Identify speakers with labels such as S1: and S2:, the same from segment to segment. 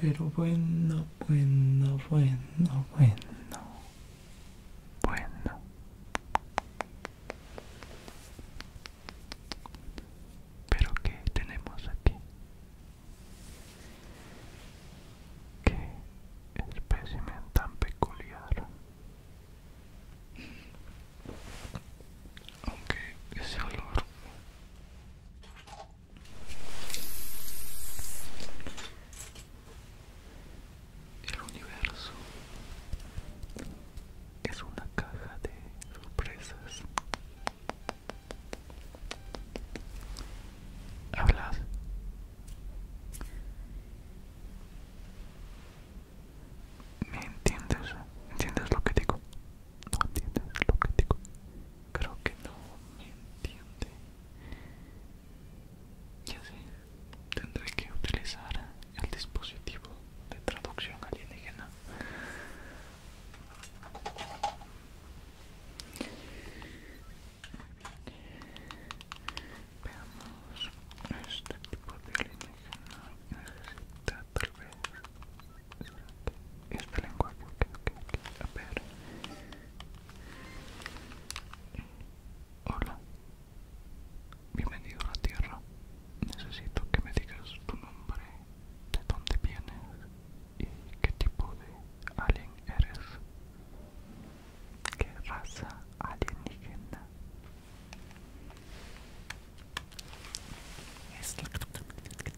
S1: Pero bueno, bueno, bueno, bueno. Bueno. Pero ¿qué tenemos aquí? ¿Qué espécimen tan peculiar? Aunque ese olor el universo es una caja de sorpresas. Hablas ¿Me entiendes? ¿Entiendes lo que digo? ¿No entiendes lo que digo? Creo que no me entiende. Ya sé, tendré que utilizar el dispositivo de traducción alienígena. Veamos, este tipo de alienígena necesita tal este lenguaje, Hola, bienvenido a la Tierra. Necesito que me digas tu nombre, de dónde vienes y qué tipo de alien eres. ¿Qué raza alienígena?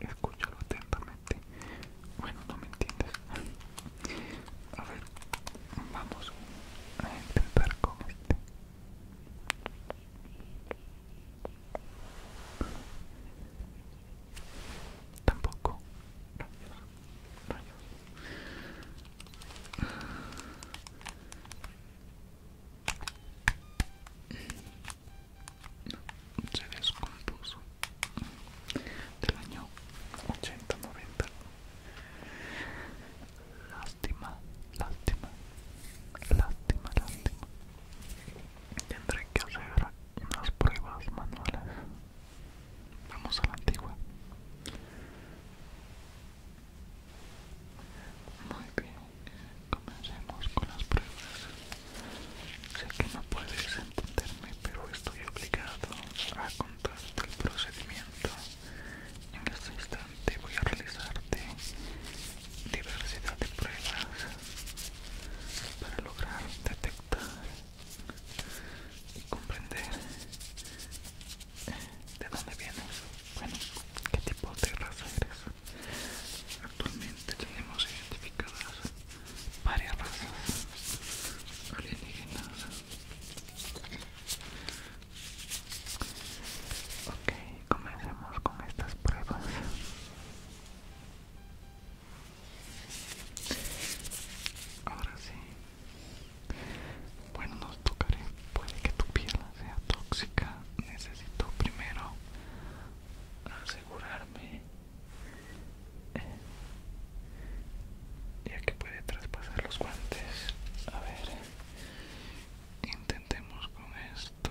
S1: Escúchalo atentamente. Bueno, no me entiendes. A ver, vamos a intentar con este. Tampoco se descompuso del año 80-90 lástima lástima lástima lástima tendré que hacer unas pruebas manuales vamos a la antigua muy bien, comencemos con las pruebas. Sé que no puedes entenderme, pero estoy obligado a contar el procedimiento. En este instante voy a realizarte diversidad de pruebas para lograr detectar y comprender eh, de dónde vienes, bueno, qué tipo de raza eres. Actualmente tenemos identificadas varias razas alienígenas. Ok, comencemos con estas pruebas. Ahora sí. Bueno, nos tocaré. Puede que tu piel sea tóxica. Necesito primero asegurarme eh, ya que puede traspasar los guantes a ver intentemos con esto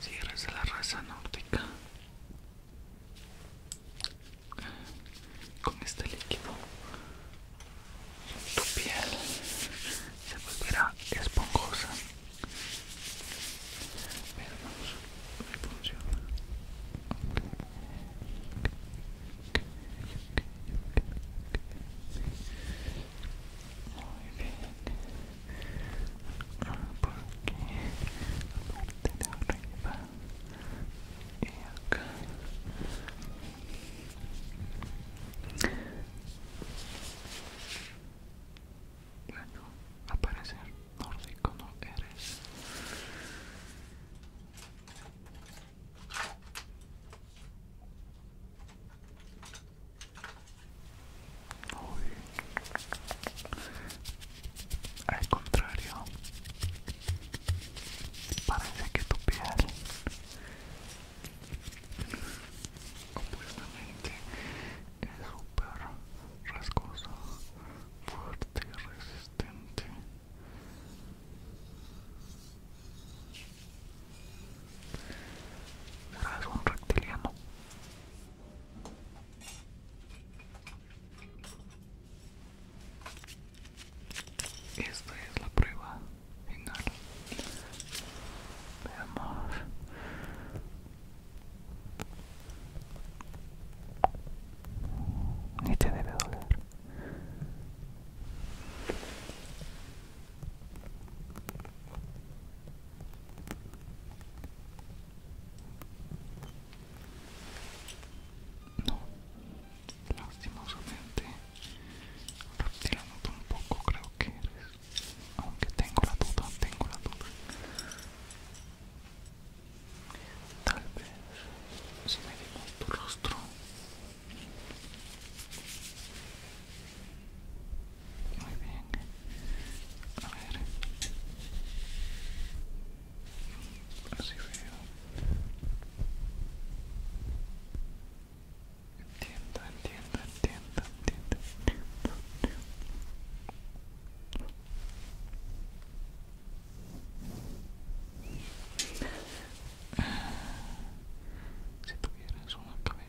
S1: si eres de la raza nórdica con este líquido tu piel se volverá esponjosa pero funciona muy bien porque la parte de arriba y acá bueno, aparecer nórdico no eres al contrario, parece que tu piel completamente es súper rasgosa, fuerte y resistente. ¿Serás un reptiliano? Esta es la prueba final. Veamos. Ni te debe doler. No, lastimosamente, retirando un poco creo que eres, aunque tengo la duda, tengo la duda. Tal vez si me digo tu rostro muy bien. A ver. Así veo. Entiendo, entiendo, entiendo, entiendo, entiendo. Ah, si tuvieras una cabeza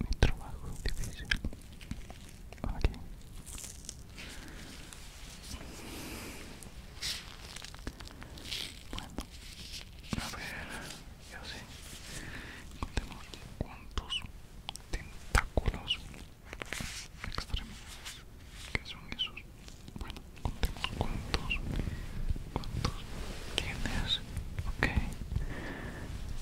S1: mi trabajo difícil aquí bueno a ver ya sé contemos cuántos tentáculos extremos que son esos bueno contemos cuántos cuántos tienes ok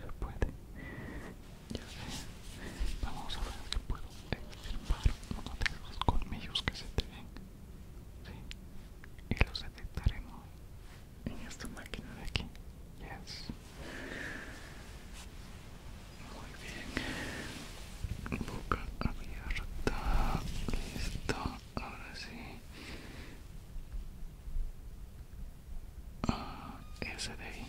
S1: se puede. Ya sé. Vamos a ver qué puedo extirpar uno de los colmillos que se te ven. Sí. Y los detectaremos en esta máquina de aquí. Yes. Muy bien. Boca abierta. Listo. Ahora sí. Ah, de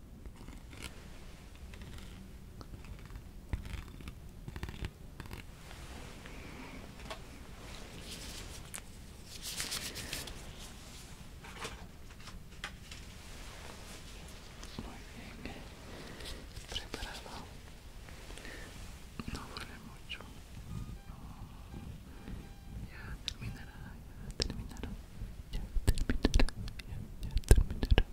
S1: Muy bien, eh, preparado. No duele mucho. Ya terminará, ya terminará, ya terminará, ya terminará.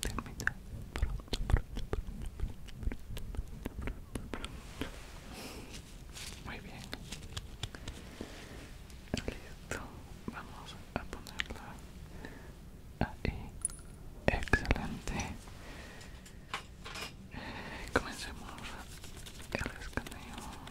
S1: Termina Muy bien. Listo. Vamos a ponerla ahí. Excelente. comencemos el escaneo.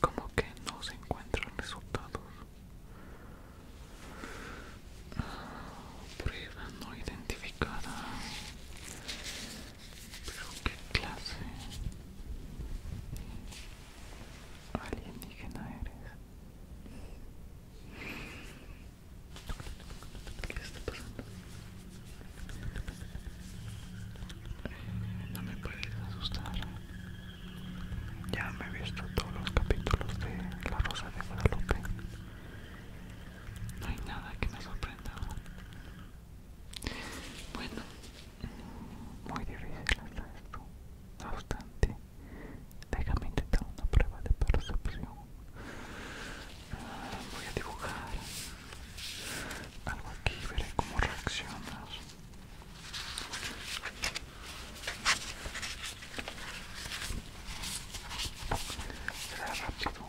S1: como que no se encuentran resultados prueba no identificada pero qué clase alienígena eres ¿qué está pasando? No me puedes asustar. Ya me he visto todos los capítulos de La Rosa de Guadalupe. No hay nada que me sorprenda. Bueno, muy difícil está esto. No obstante, déjame intentar una prueba de percepción. Ah, voy a dibujar algo aquí veré cómo reaccionas será rápido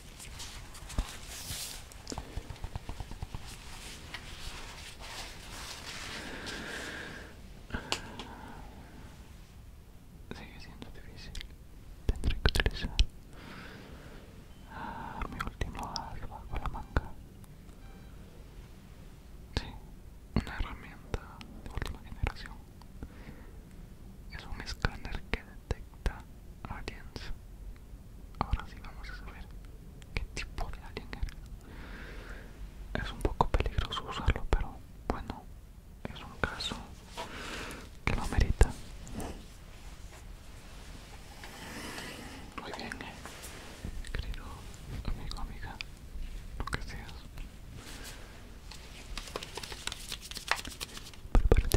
S1: Sigue siendo difícil. Tendré que utilizar ah, mi último as bajo la manga. Sí, una herramienta de última generación. Es un escáner que detecta de aliens. Ahora sí vamos a saber qué tipo de alien era Es un poco peligroso usarlo, pero bueno, es un caso que lo merita. Muy bien, eh. querido amigo, amiga, lo que seas. Prepárate.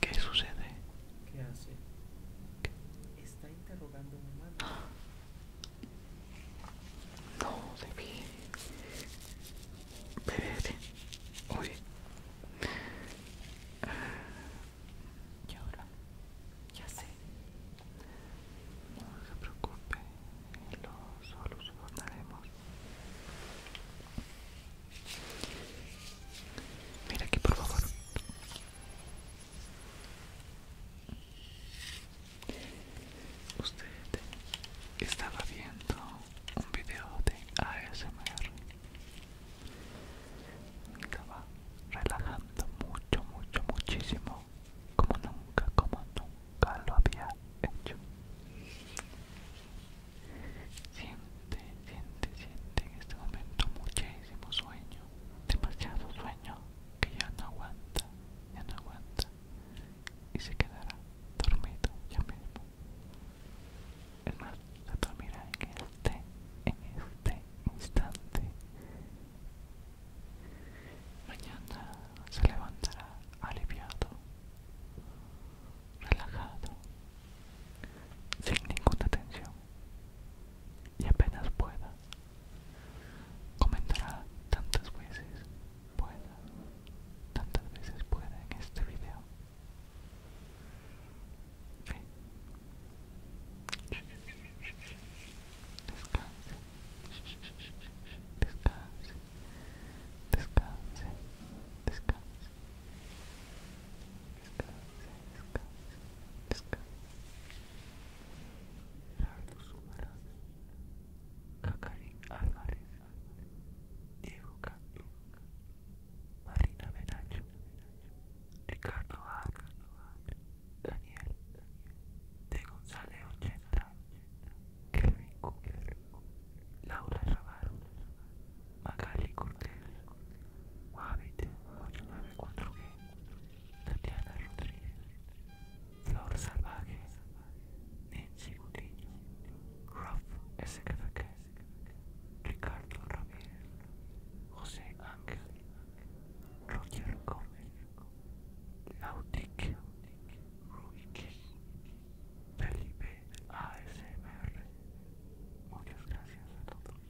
S1: ¿Qué sucede? ¿Qué hace? está interrogando mi un No debí beber hoy. Y ahora, ya sé. No se preocupe, lo solucionaremos. Mira aquí, por favor. Usted estaba viendo un video de ASMR. Estaba relajando mucho, mucho, muchísimo. Como nunca, como nunca lo había hecho. Siente, siente, siente en este momento muchísimo sueño demasiado sueño que ya no aguanta, ya no aguanta y se quedará dormido ya mismo. Es más, se dormirá en este, en este instante. Mañana se levantará aliviado, relajado, sin ninguna tensión, y apenas pueda. Comentará tantas veces pueda, tantas veces pueda en este video. Descanse, descanse, descanse, descanse. Cacari Álvarez, Diego Cantú, Marina Menacho, Ricardo Vaca, Daniel, De González 80, Kevin Cooper, Laura Navarro, Magali Cortés, Guavite 894 Tatiana Rodríguez, Flor Salvaje, Ninji Gutiño, Ruff SKFK, Ricardo Ramírez, José Ángel, Roger Gómez, Nautic, Rubik, Felipe ASMR. Muchas gracias a todos.